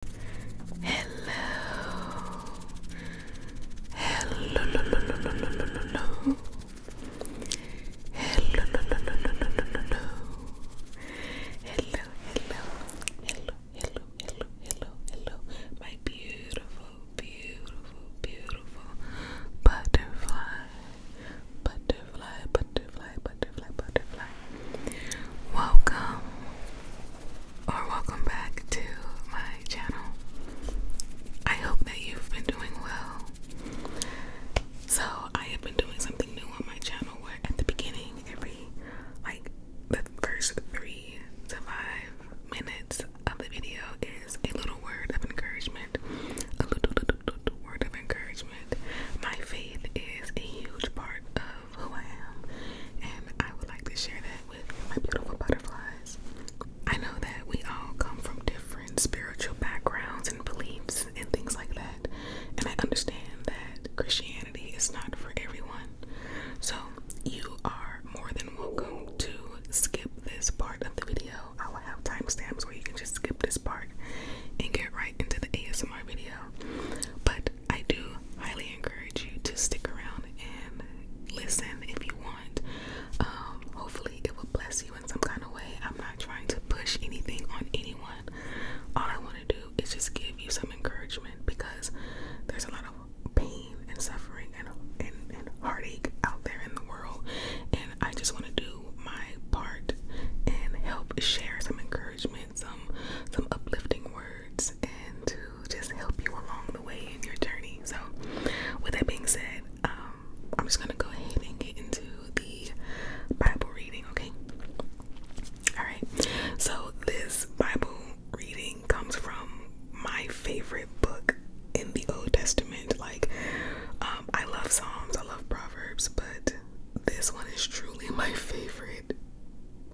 Hello. Hello. Hello. Hello. Hello. Hello. Hello. Hello. Hello. Hello. Hello. My beautiful, beautiful, beautiful butterfly. Butterfly, butterfly, butterfly, butterfly, Welcome or welcome back to my channel. I hope that you've been doing well. So, I have been doing something new on my channel where at the beginning, every like the first three to five minutes of the video is a little word of encouragement. A little, word of encouragement. My faith is a huge part of who I am, and I would like to share that with my beautiful butterflies. I know that we all come from different spiritual backgrounds and beliefs and things like that, and I understand that Christianity is not for everyone. So, you are more than welcome to skip this part of the video. I will have timestamps where you can just skip this part and get right into the ASMR video. But I do highly encourage you to stick around and listen if you want. Um, hopefully, it will bless you in some kind of way. I'm not trying to push anything on anyone. All I want to do is just give you some encouragement because there's a lot of pain and suffering and, and heartache out there in the world, and I just want to do my part and help share some encouragement some some uplifting words and to just help you along the way in your journey. So, with that being said, um, I'm just gonna go ahead and get into the Bible reading. Okay. All right. So this Bible reading comes from my favorite book in the Old Testament. Like, um, I love Psalms, I love Proverbs, but this one is truly my favorite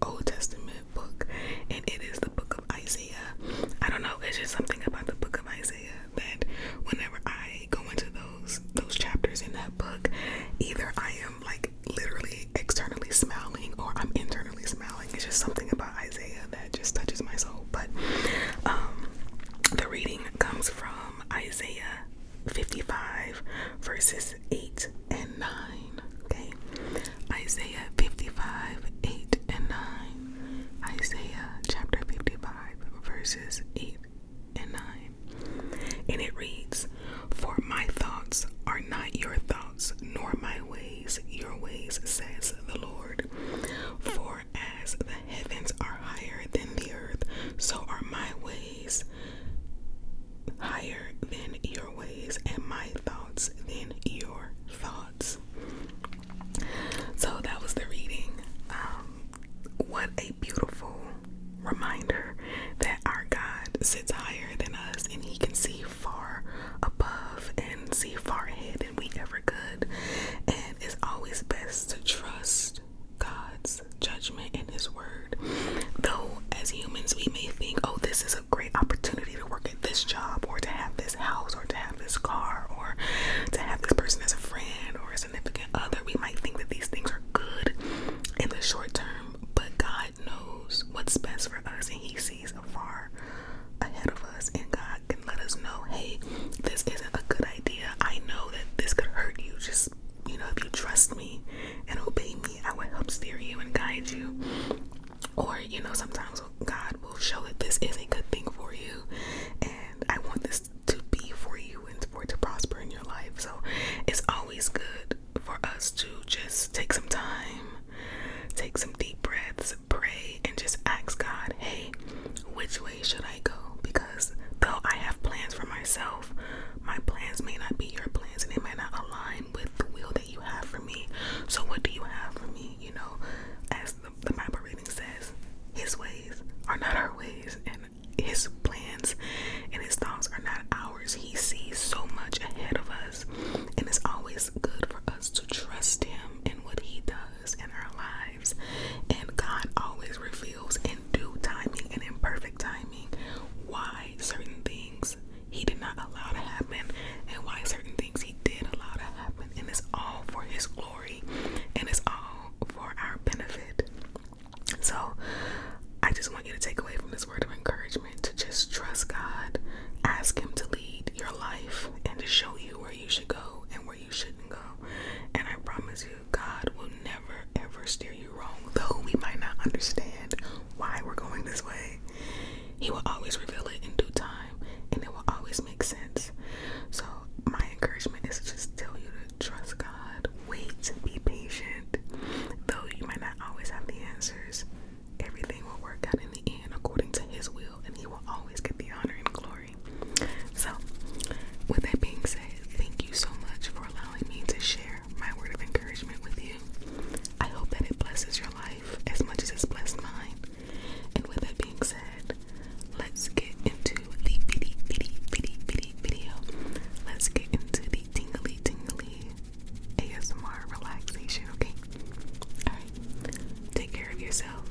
Old Testament book, and it is the book of Isaiah. I don't know, it's just something about the book of Isaiah that whenever I go into those those chapters in that book, either I am like literally externally smiling or I'm internally smiling. It's just something about Isaiah that just touches my soul. But um the reading comes from Isaiah 55 verses 8 and 9. Okay. Isaiah 55, 8 and 9. Isaiah chapter 55, verses 8 and 9. And it reads, For my thoughts are not your thoughts, nor my ways your ways, says the Lord. For as the heavens are higher than the earth, so are my ways, higher than your ways and my thoughts than your thoughts. So that was the reading. Um, what a beautiful reminder that our God sits higher than us and He can see far above and see far ahead than we ever could. And it's always best to trust God's judgment and His word Though, as humans, we may think, oh, this is a great opportunity to work at this job, or to have this house, or to have this car, or to have this person as a friend or a significant other. We might think that these things are good in the short term, but God knows what's best for us, and He sees far ahead of us, and God can let us know, hey, this isn't a good idea. I know that this could hurt you, just you know, if you trust me and obey me. I will help steer you and guide you. Or, you know, sometimes God will show that this is a good thing for you, and I want this to be for you and for it to prosper in your life. So, it's always good for us to just take some time, take some deep breaths, pray, and just ask God, hey, which way should I go? Because though I have plans for myself, my plans may not be your plans and they might not align with the will that you have for me. So, what do you have for me? You know, as the Bible reading says, His ways are not our ways, and His plans and His thoughts are not ours. He sees so much ahead of us, and it's always good for us to trust Him in what He does in our lives. And God always reveals in due timing and in perfect timing why certain things he did not allow to happen and why certain things he did allow to happen. And it's all for his glory and it's all for our benefit. So I just want you to take away from this word of encouragement to just trust God, ask Him to lead your life and to show you where you should go and where you shouldn't go. And I promise you, God will never ever steer you though we might not understand why we're going this way. He will always reveal it in due time and it will always make sense. So, my encouragement is to just tell you to trust God, wait, be patient. Though you might not always have the answers, everything will work out in the end according to His will, and He will always get the honor and glory. So, with that being said, thank you so much for allowing me to share share my word of encouragement with you. I hope that it blesses your life as much as it's blessed mine. And with that being said, let's get into the bitty, bitty, bitty, bitty video. Let's get into the tingly, tingly ASMR relaxation, okay? Alright. Take care of yourself.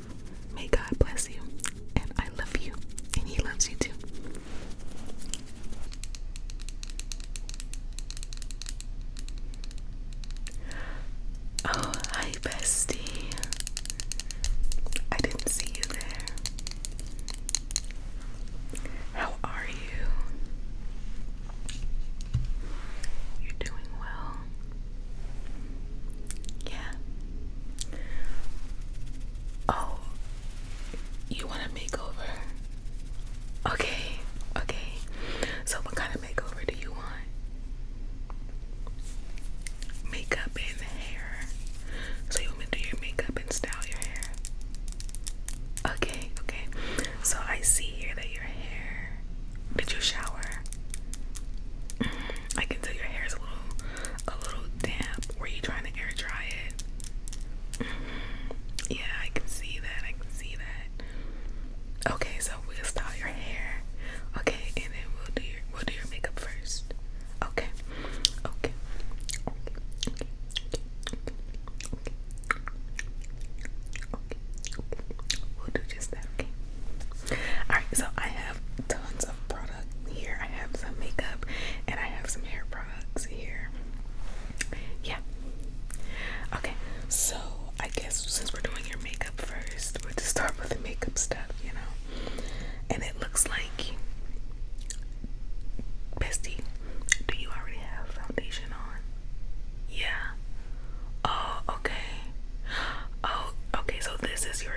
May God bless you. And I love you. And He loves you too. Oh, hi, bestie. I didn't see you there. How are you? You're doing well. Yeah. Oh, you want a makeover? Okay, okay. So, what kind of makeover do you want? Makeup and hair. So, you want me to do your makeup and style your hair? Okay, okay. So, I see here that your hair. Did you shower? Mm-hmm. I can tell your hair is a little, a little damp. Were you trying to air dry it? Yeah, I can see that. I can see that. Okay, so we'll style your hair. Okay, and then we'll do your we'll do your makeup first. Okay. Okay. Okay. Okay. Okay. We'll do just that, okay? Alright, so I have tons of product here. I have some makeup and I have some hair products here. Yeah. Okay, so I guess since we're doing your makeup first, we'll to start with the makeup stuff, you know. And it looks like Bestie, do you already have foundation on? Yeah. Oh, okay. Oh, okay. So this is your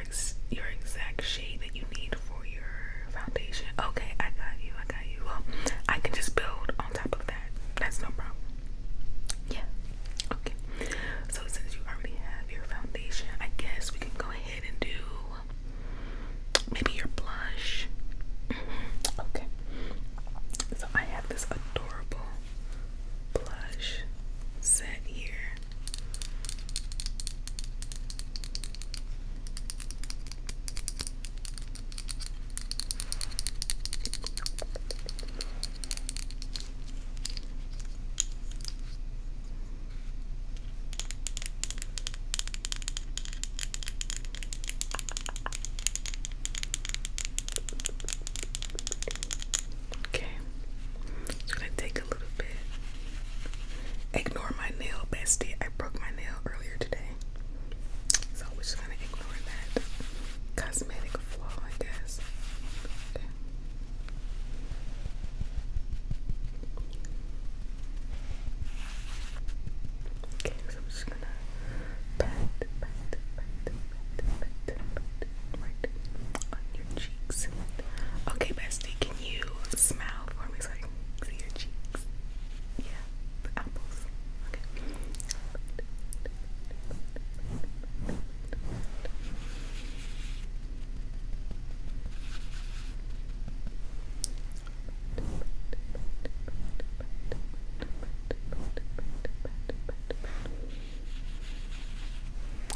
your exact shade that you need for your foundation. Okay, I got you. I got you. Well, I can just build on top of that. That's no problem. Yeah. Okay. So since you already have your foundation, I guess we can go ahead and do maybe your blush. Mm-hmm. okay. So I have this adorable blush set here. Okay, it's gonna take a little bit. Ignore my nail, bestie. I broke my nail earlier today. So we're just gonna ignore that cosmetic flaw, I guess. Okay. so I'm just gonna pat, pat, pat, pat, pat, pat, right on your cheeks. Okay, bestie, can you smile for me see your cheeks? Yeah, apples.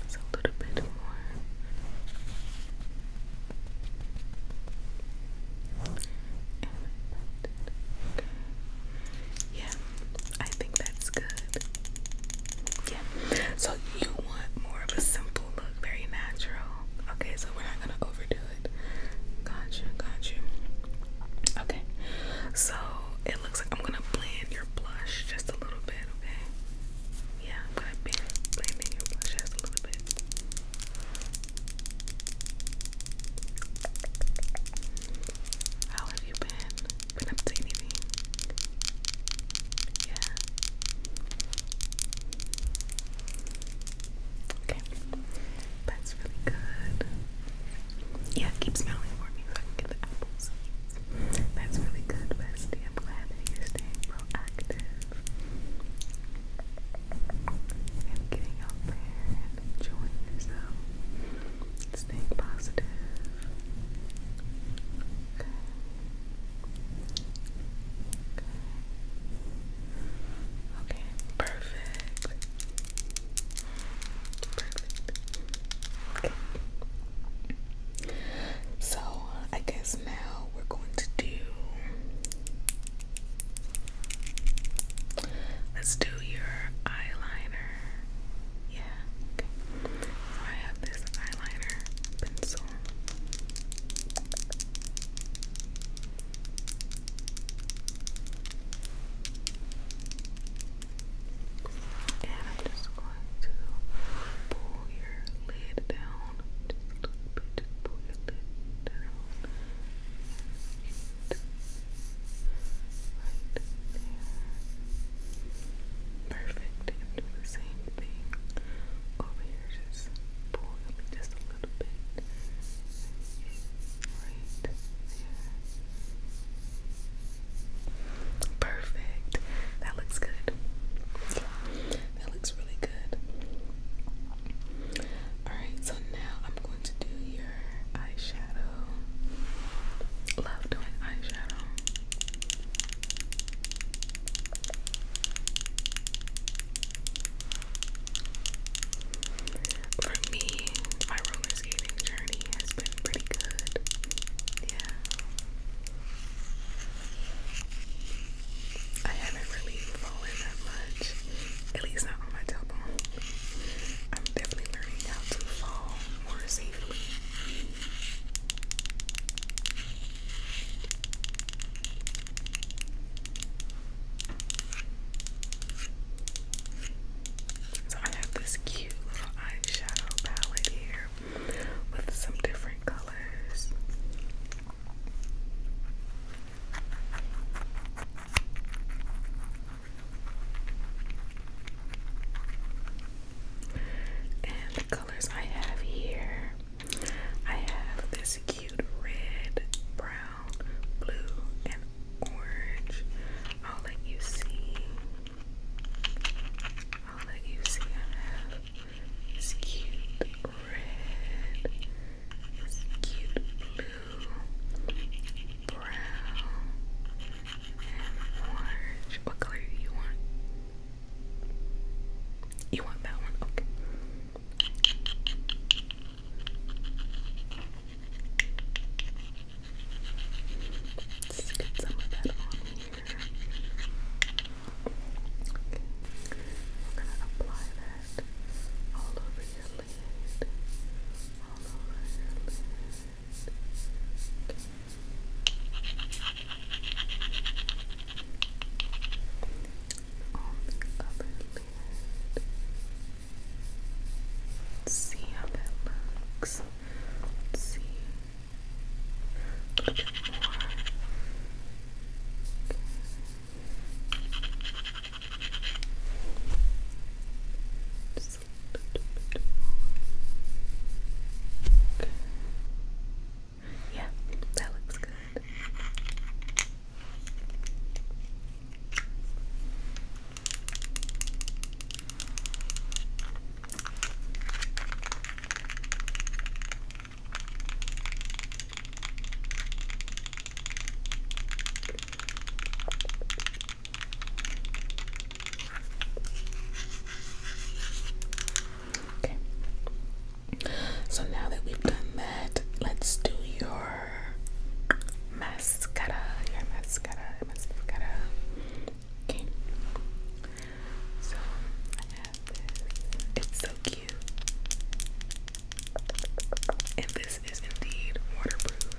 It's a little bit more. Okay. Yeah, I think that's good. Yeah, so you want more of a simple look, very natural. Okay, so we're not gonna overdo it. Got you, got you. Okay, so it looks like I'm gonna blend your blush just a little bit, okay? Yeah, I'm gonna blend, blend your blush just a little bit. How have you been? Been up to anything? Yeah. Okay. That's really good. Yeah, keep smiling for me so apples. That's really good, bestie. I'm glad that you're staying proactive and getting out there and enjoying yourself, staying positive. Okay. Okay. Perfect. Perfect. Okay. So I guess now we're going to do Let's do your eyeliner. Yeah. I have this eyeliner pencil. And I'm just going to pull your lid down just a little bit. Just pull your lid down right there. Perfect. And the same thing over here. Just pull it just a little bit. Right there. Perfect. That looks good. That looks really good. Alright, so now I'm going to do your eyeshadow. Love doing eyeshadow. For me, my roller skating journey has been pretty good. Yeah. I haven't really fallen that much, at least not on my tailbone. I'm definitely learning how to fall more safely. So I have this cute little eyeshadow palette here with some different colors. And the colors I have here I have this cute red, brown, blue, and orange. I'll let you see. I'll let you see. I have this cute red, cute blue, brown, and orange. What color do you want? You want that one? Okay. Let's get some of that on here. Okay. We're gonna apply that lid, all over your lid, all over your lid. Okay. On the lid. see how that looks. see. A little more. Okay. Just a Yeah, that looks good. Okay. So now that we've done that, let's do your mascara. Your mascara, Okay. So I have this. It's so cute. And this is indeed waterproof. Okay.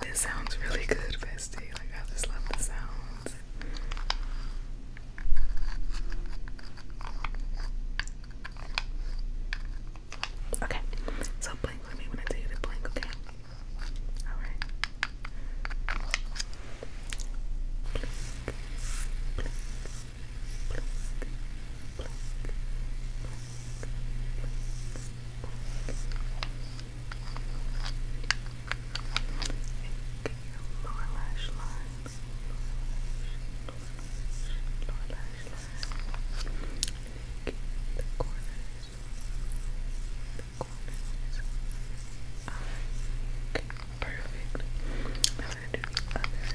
This sounds really good, Bestie. Like, I just love the sounds. Okay, so blink with me when I tell you to blink, okay? Alright. lower lash line. Lower lash line. the corners the corners perfect. Now we gonna do the other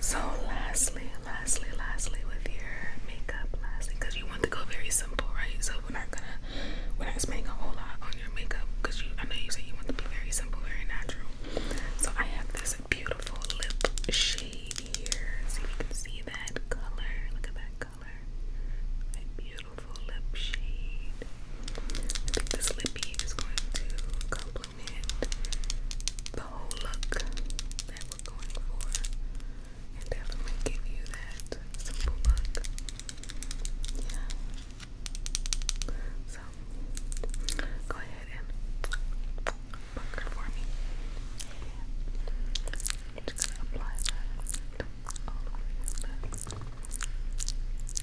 So lastly, lastly, lastly with your makeup, lastly, because you want to go very simple, right? So we're not gonna we're not spending a whole lot on your makeup because you I know you say you want to be very simple, very natural. So I have this beautiful lip shade shade here. See you can see that color. Look at that color. That beautiful lip shade. this lippy is going to complement the whole look that we're going for and definitely give you that simple look. Yeah. So go ahead and bunker for me. And gonna apply that all over your lips.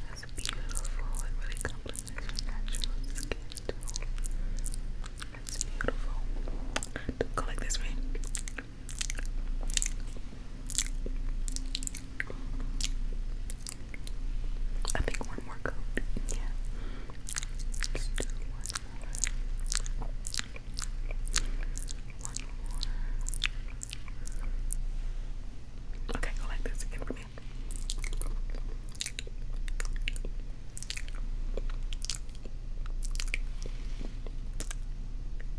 That's beautiful. It really complements your natural skin tone. beautiful. Go like this, right? I think one more coat. Yeah. Okay, go like this again for me.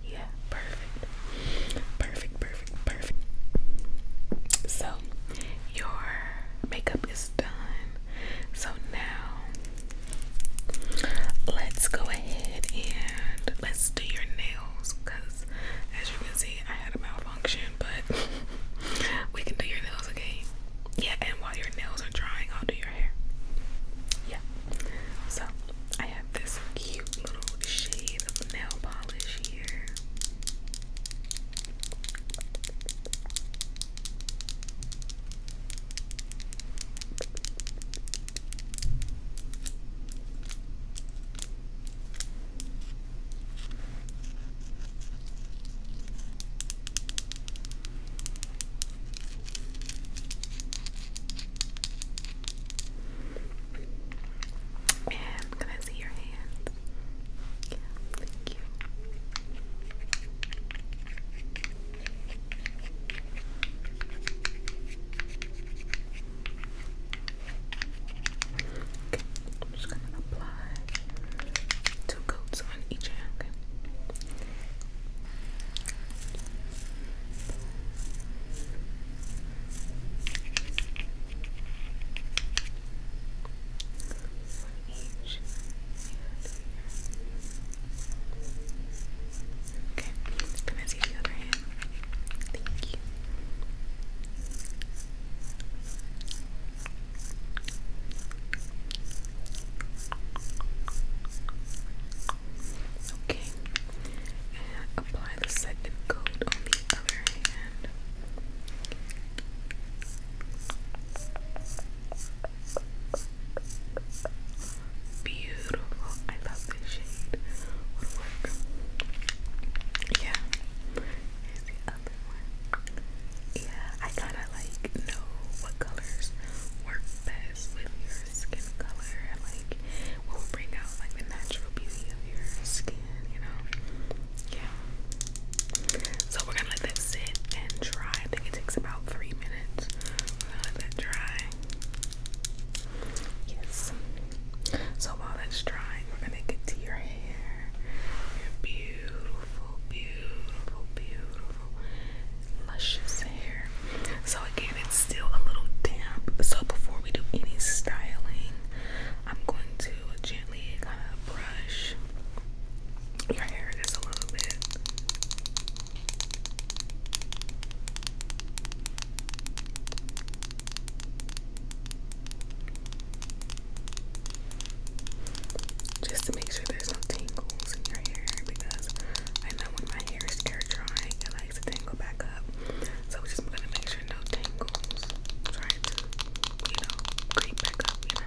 Yeah, perfect. Perfect, perfect, perfect. So, your makeup is done. So now let's go ahead and let's do your nails because as you can see I had a malfunction but we can do your nails okay? Yeah, and while your nails are drying, I'll do your hair. Yeah. So I have this cute little shade of nail polish here. And can I see your hands? Okay, I'm just gonna apply two coats on each hand. Okay, can I see the other hand? Thank you. Okay, and apply the second coat on the other hand. Beautiful. I love this shade. Yeah. Here's the other one. Yeah, I gotta like know what colors work best with your skin color and like will bring out like the natural beauty of your skin, you know yeah. So we're gonna let that sit and dry. I think it takes about three minutes. We're gonna let that dry. Yes. So while that's drying, we're gonna get to your hair. Your beautiful, beautiful, beautiful, luscious hair. So again, it's still a little damp. So before we do any styling, I'm going to gently kind of brush your hair is a little bit. Just to make sure there's no tangles in your hair because I know when my hair is air drying, it likes to tangle back up. So we're just gonna make sure no tangles you know, creep back up, you know.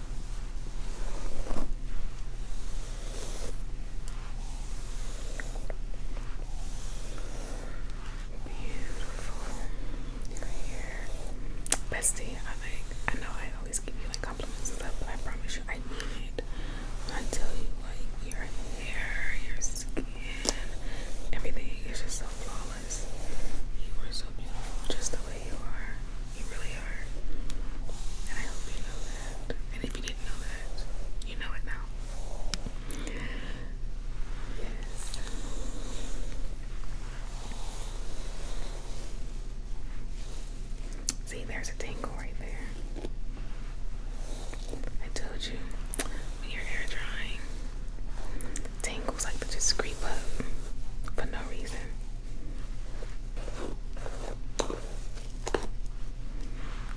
Beautiful. you Bestie, I like I know I always give you like compliments and stuff, but I promise you I need. it. When I tell you like your hair, your skin, everything is just so flawless. You are so beautiful just the way you are. You really are. And I hope you know that. And if you didn't know that, you know it now. See, there's a tangle right there. I told you, when your hair drying, tingles like to just creep up for no reason.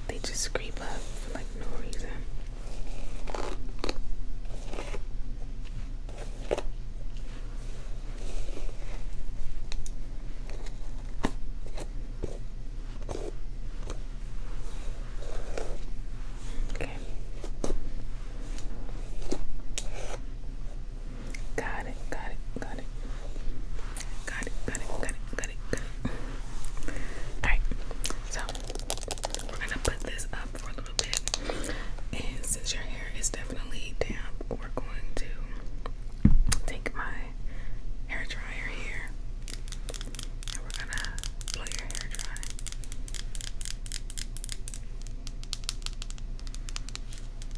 They just creep up for like no reason. Okay. Got it, got it, got it. Got it, got it, got it, got it, got it. Alright, so we're gonna put this up for a little bit. And since your hair is definitely damp, we're going to take my hair dryer here. And we're gonna blow your hair dry.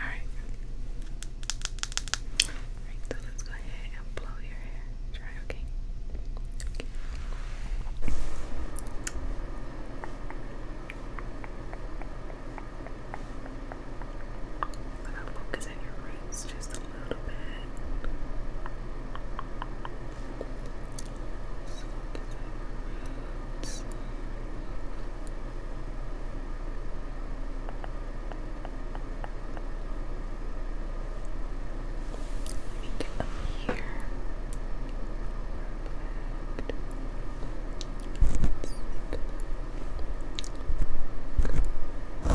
Alright. Alright, so let's go ahead and blow your hair dry, okay? okay. just a little bit. Let me get them here. Perfect. Let's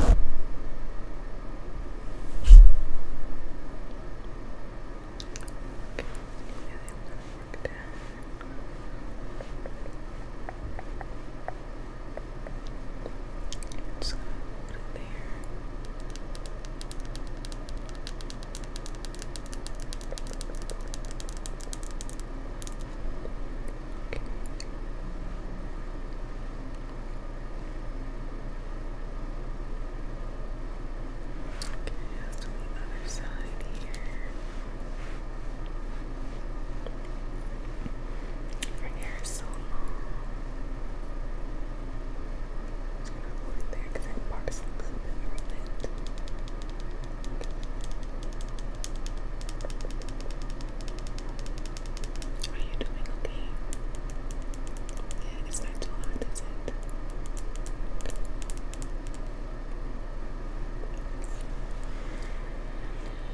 Okay, so really I'm gonna work down. Just gonna there. Okay. Okay, let's do the other side here. Her hair is so long. I'm just there because it parts a little bit from Are you doing okay? Yeah, it's too hot, is it?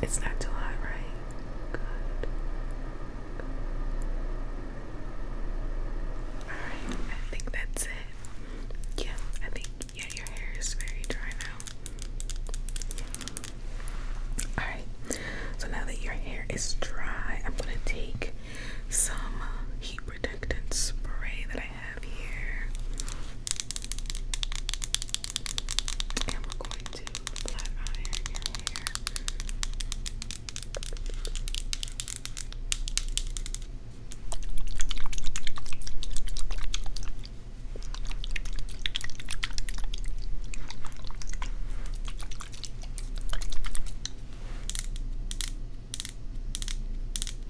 It's not too hot, right? Good. All right, I think that's it. Yeah, I think yeah, your hair is very dry now. All right, so now that your hair is dry, I'm gonna take some heat protectant spray that I have here. And we're going to flat iron your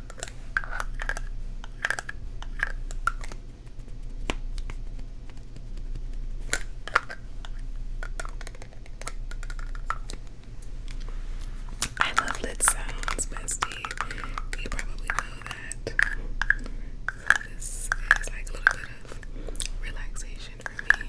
I love lit sounds, bestie. You probably know that. this is like a little bit of relaxation for me.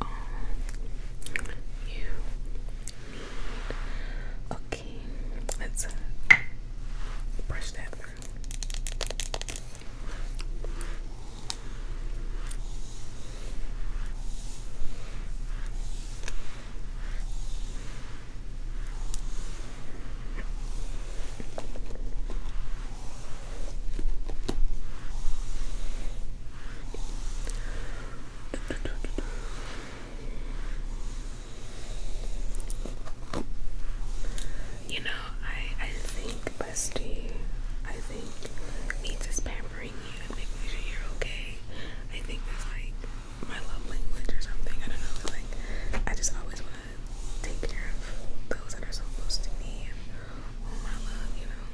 all you need. Okay, let's uh, brush that through. You know, I I think Busty, I think needs is pampering you and making sure you're okay. I think that's like my love language or something. I don't know. like I just always want to take care of those that are so close to me oh my love, you know.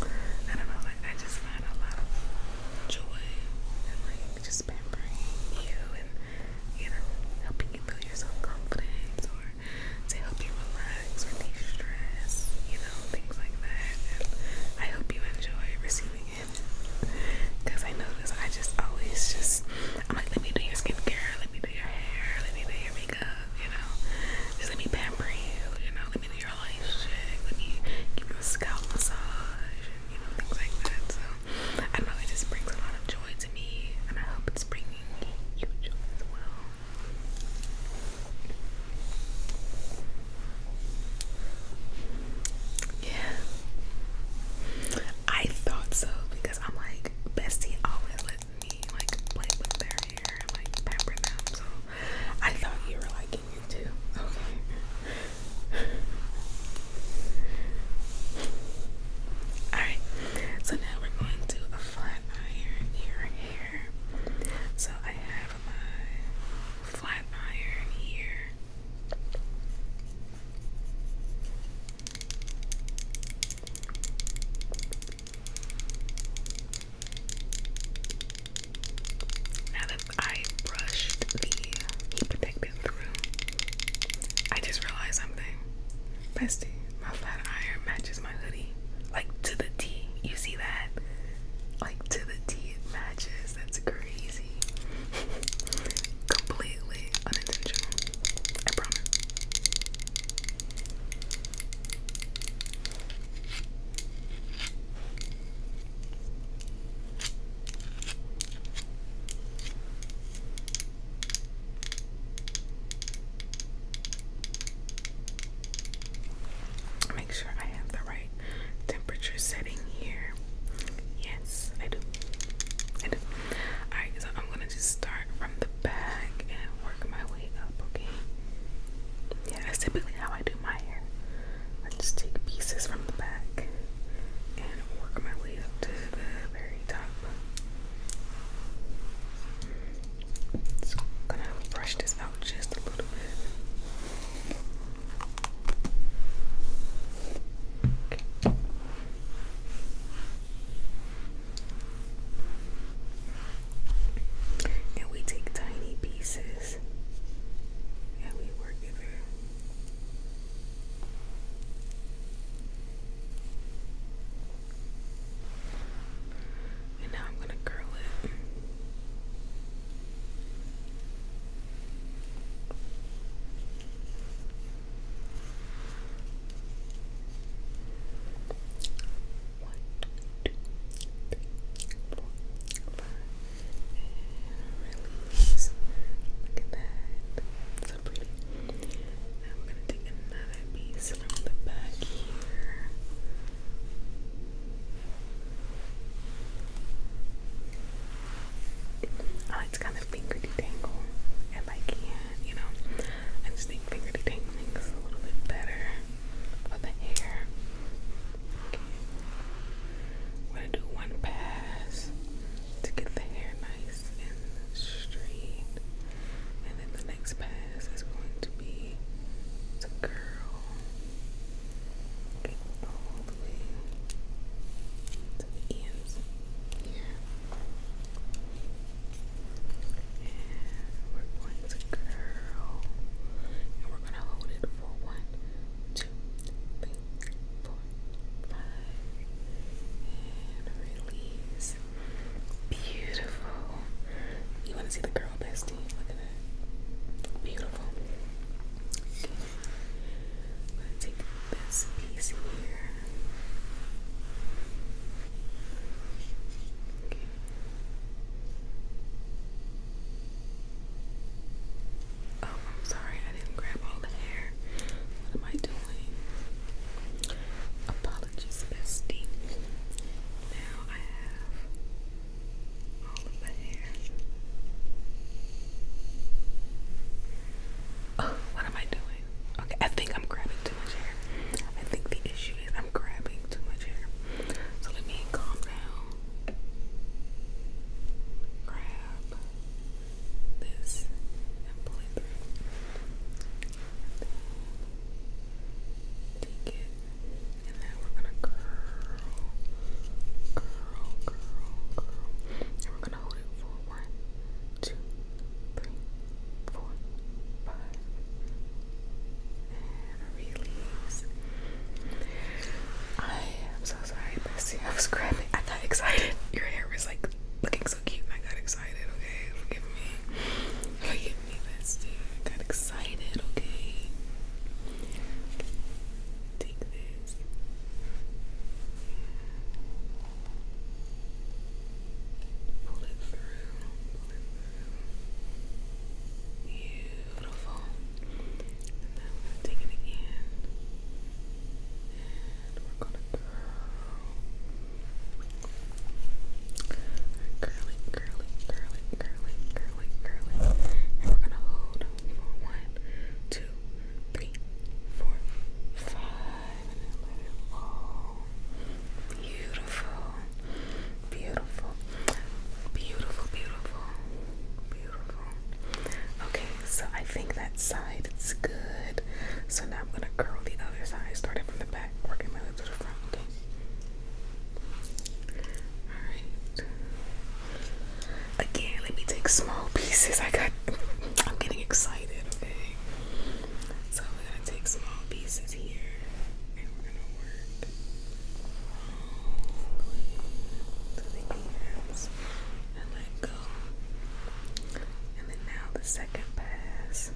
I don't know, like I just find a lot of joy and like just pampering you and you know, helping you build your self confidence or to help you relax or de stress, you know, things like that. And I hope you enjoy receiving it. Because I notice I just always just I'm like, let me do your skincare, let me do your hair, let me do your makeup you know, just let me pamper you, you know, let me do your life shit, let me give you a scalp massage, you know, things like that. So, I know, it just brings a lot of joy to me, and I hope it's bringing you joy as well. Yeah, I thought so because I'm like, Bestie always lets me like play with their hair like pamper them. So I thought you were liking it too. Okay. Alright, so now we're going to flat iron your hair. So I have my flat iron here. Now that I brushed the heat protectant through, I just realized something. Bestie, my flat iron matches my hoodie. Like to the T. You see that? Like to the T it matches. That's crazy. Completely unintentional. I promise. Make sure I have the right temperature setting here. Yes, I do. I do. Alright, so I'm gonna just start back and work my way up, okay? Yeah, that's typically how I do my hair. I just take pieces from the back and work my way up to the very top. Just gonna brush this out just a little bit. And we take tiny pieces and we work it And now I'm going to curl it. One, two, three, four, five, and release. Look at that. So pretty. Now we gonna take another piece from the back here. I like kind of finger detangle if I can, you know. I just think fingerty tingling is a little bit better for the hair. Okay. I'm gonna do one pass to get the hair nice and straight, and then the next pass is going to be to curl. Get all the way to the ends here. And we're going to curl. And we're going to hold it for one, two, three, four, five. And release. Beautiful. You want to see the girl bestie? Look at that. Beautiful. Okay. i take this piece here. Oh, I'm sorry, I didn't grab all the hair. What am I doing? Apologies, bestie. Now I have all of the hair. Oh, what am I doing? Okay, I think I'm grabbing too much hair. I think the issue is I'm grabbing too much hair. So let me calm down. Grab this and pull it through. take it. And then we're gonna curl. Curl, curl, curl. And we're gonna hold it for one, two three, four, five, and release. I am so sorry, Bessie. I was grabbing. I got excited. Your hair was like looking so cute, and I got excited. Okay, forgive me. Forgive me, Bessie. I got excited. Okay. Take this. Pull it through. Beautiful. And now we're gonna take it again. And we're gonna curl. Curly, curly, curly, curly, curly, And we're gonna hold for one, two, three, four, five, and then let it fall beautiful, beautiful, beautiful, beautiful, beautiful. Okay, so I think that side is good. So now I'm gonna curl the other side, starting from the back, working my way to the front. Okay. All right. Again, let me take small pieces. I got. I'm getting excited. Okay. So we're gonna take small pieces here and we're gonna work all the ends and let go. And then now the second pass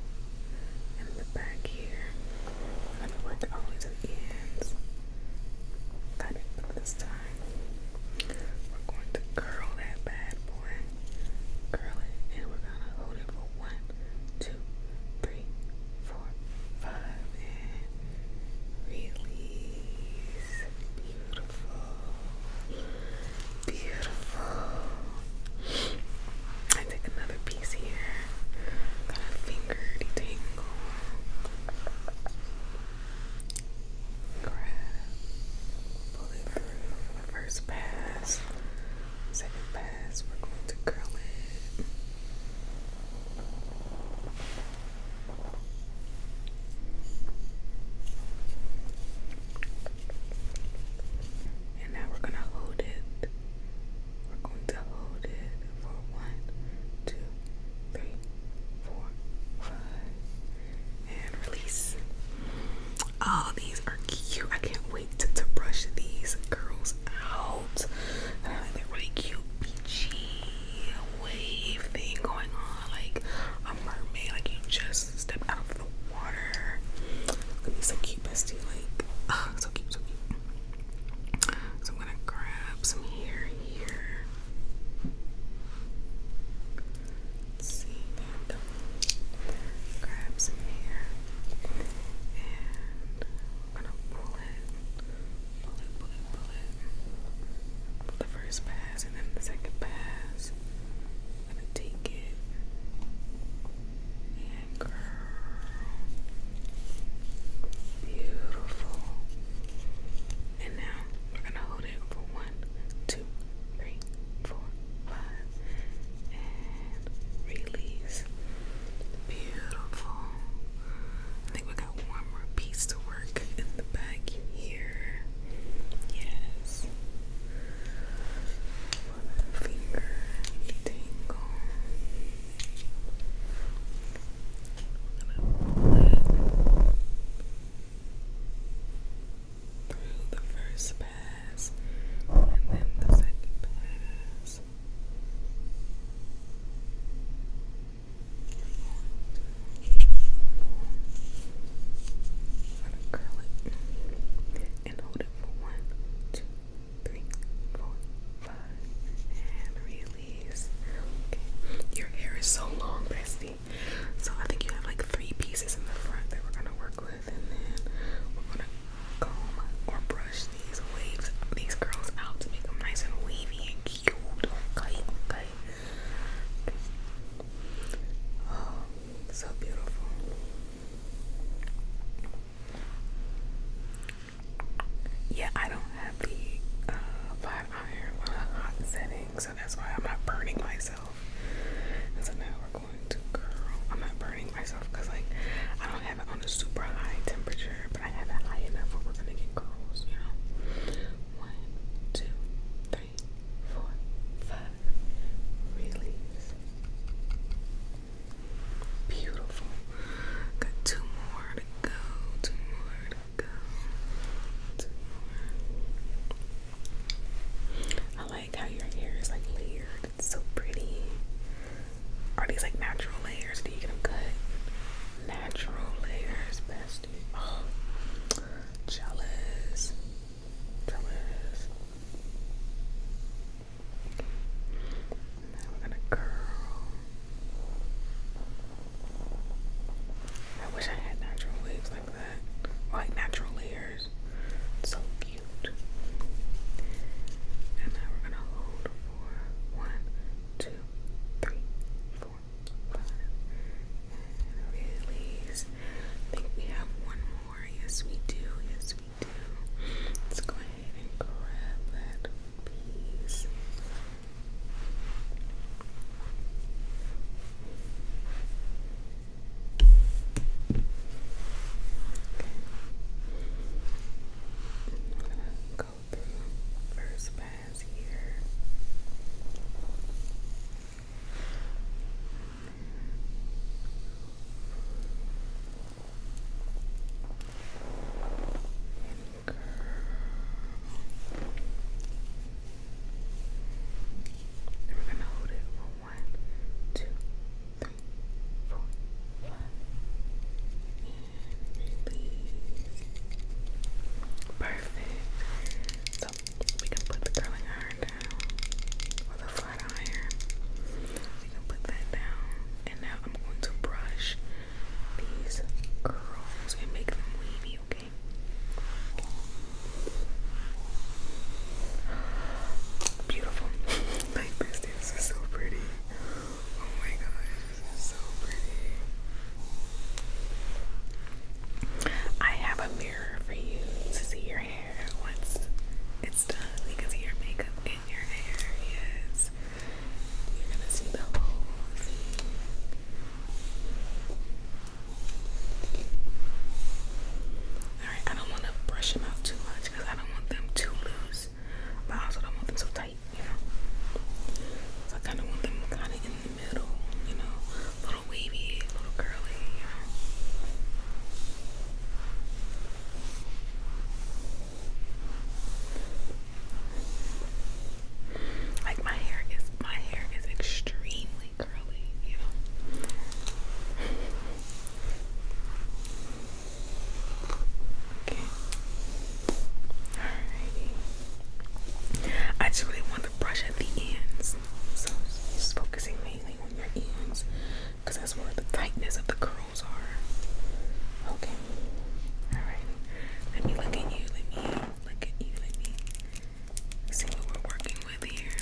in the back here. I'm gonna work all the ends. Got this time. We're going to curl that bad boy. Curl it and we're gonna hold it for one, two, three, four, five, and release. Beautiful. Beautiful. I take another piece here. Got a finger detangle. Grab. Pull it through first pass second pass, we're going to curl it. And now we're going to hold it. We're going to hold it for one, two, three, four, five, and release. Oh, these are cute. I can't wait to, brush these girls out. I like that really cute peachy wave thing going on, like a mermaid, like you just step out of the water. Look so cute, so cute, so cute. So I'm gonna grab some hair here. see, there some hair and we're gonna pull it, pull it, pull it, pull it, the first pass, and then the second pass. I'm gonna take it and curl. Beautiful. And now we're gonna hold it for one, two, three, four, five, and release. Beautiful. I think we got one more piece to work in the back here. Yes. Finger tingle. I'm gonna pull it through the first bag and then the second pass. I'm gonna curl it and hold it for one, two, three, four, five, and release. your hair is so long, bestie. So I think you have like three pieces in the front that we're gonna work with and then we're gonna comb or brush these waves, these curls out to make them nice and wavy and cute. Okay, Oh, so beautiful. Yeah, I don't have the flat iron hot setting, so that's why I'm not burning myself. so now we're I'm not burning myself because like I don't have it on a super high temperature, but I have it high enough where we're gonna get curls, you know. One, two, three, four, five. Release. Beautiful. Got two more to go. Two more to go. Two more. I like how your hair is like layered. It's so pretty. Are these like natural layers? Do you get them cut? Natural layers, bestie. Oh, jealous. Jealous. Now we're gonna curl. I wish I had natural waves like that. like natural layers. So cute. And now we're gonna hold for one, two, three, four, five. And release. I think we have one more. Yes we do. Yes we do. Let's go ahead and grab that piece. I'm gonna go first pass here. And curl. we're gonna hold it one, two, three, four, five, and release. Perfect. So we can put the curling iron down, or the flat iron. We can put that down, and now I'm going to brush these curls and make them wavy. Okay beautiful. like this is so pretty. Oh my God, this is so pretty. I have a mirror for you to see your hair once it's done. You can see your makeup in your hair, yes. You're gonna see the whole Alright, I don't want to brush them out too much because I don't want them too loose, but I also don't want them so tight, you know. So I kind of want them kind of in the middle, you know, little wavy, little curly, you know. Like my hair is my hair is extremely curly, you know. Okay. Alrighty. I just really want to brush at the ends. So just focusing mainly on your ends. Because that's where the tightness of the curls are. Okay. Alright. Let me look at you. Let me look at you. Let me see what we're working with here.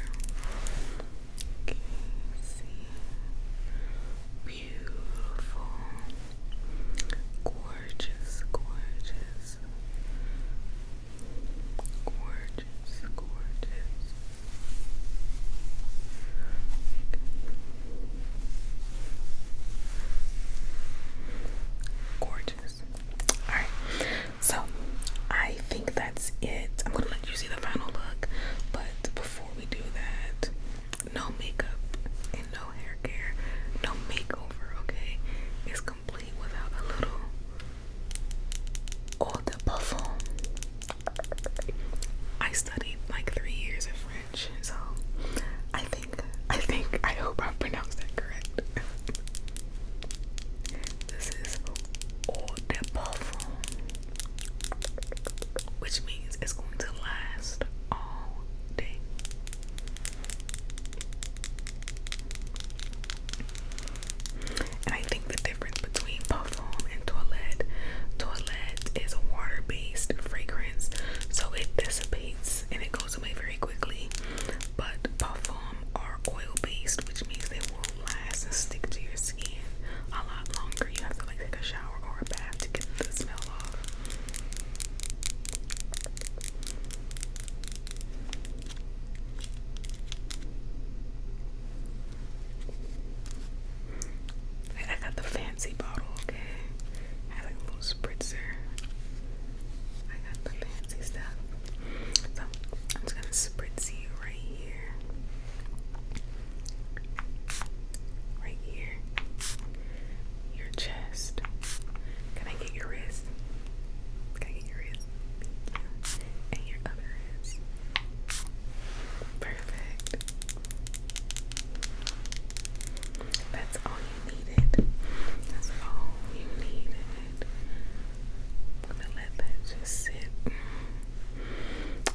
Beautiful. Gorgeous, gorgeous. Gorgeous, gorgeous. Gorgeous. Alright, so I I think that's it. I'm gonna let you see the final look, but before we do that, no makeup and no hair care, no makeover, okay? It's complete without a little eau de parfum. I studied like three years of French, so I think, I think, I hope I pronounced that correct. this is eau de parfum which means it's going to last all day. And I think the difference between Parfum and Toilette, Toilette is a water-based fragrance, so it dissipates and it goes away very quickly. But Parfum are oil-based, which means they will last and stick to your skin a lot longer. You have to like take a shower or a bath to get the smell off. I got the fancy bottle, okay? I had a little spritzer. I got the fancy stuff. So I'm just gonna spritz you right here. Right here. Your chest. Can I get your wrist? Can I get your wrist? And your other wrist. Perfect. That's all you needed. That's all you needed let that just sit.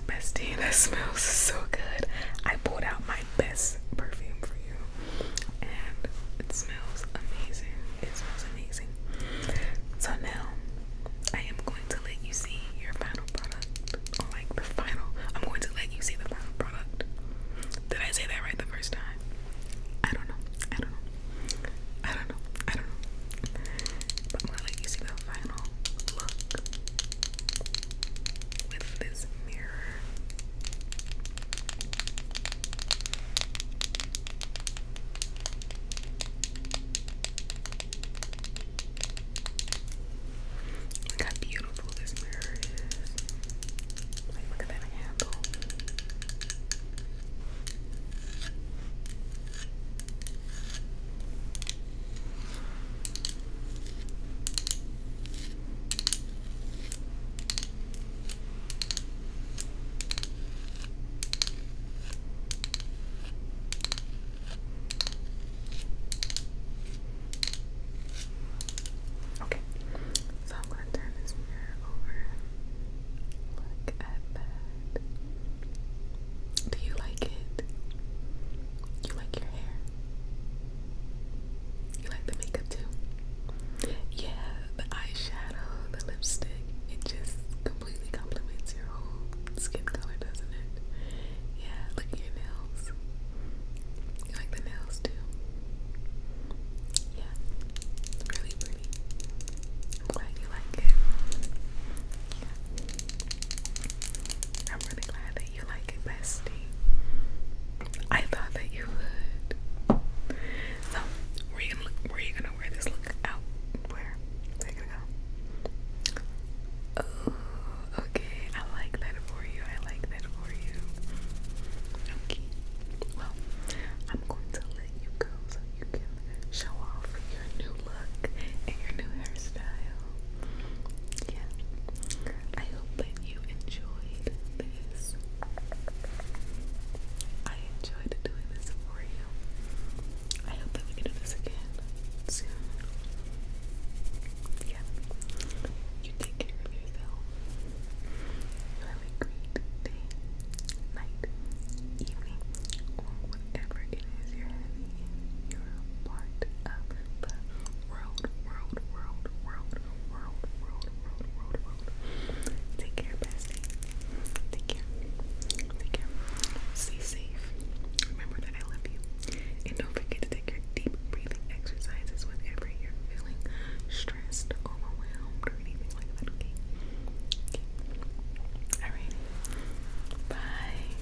Bestie, that smells so good. I pulled out my best perfume for you, and it smells amazing. It smells amazing. So now I am going to let you see your final product, or oh, like the final. I'm going to let you see the final product. Did I say that right the first time? I don't know. I don't know. I don't know. I don't know. But gonna let you see the final look with this mirror. Look how beautiful this mirror is. Like, look at that handle. Okay, so I'm going to turn this mirror over. Look at that. Do you like it? You like your hair? You like the makeup too? Yeah, the eyeshadow, the lipstick, it just completely complements your whole skin color, doesn't it? Yeah, look at your nails. You like the nails too? Yeah, really pretty. I'm glad you like it. I'm really glad that you like it, bestie. I thought that you would. So, where you you gonna wear this look out? Where? Where you gonna go? Oh, okay. I like that for you. I like that for you. Okay. Well, I'm going to you go so you can show off your new look and your new hairstyle. Yeah. I hope that you enjoyed this. I enjoyed doing this for you. I hope that we can do this again soon. Yeah. You take care of yourself. have a great day, night, evening, whatever it is your part of the world, world, world, world, world, world, world, world, Take care, bestie. Take care. Take care. Stay safe. Remember that I love you. And don't forget to take your deep breathing exercises whenever you're feeling stressed, overwhelmed, or anything like that, Alright. Bye.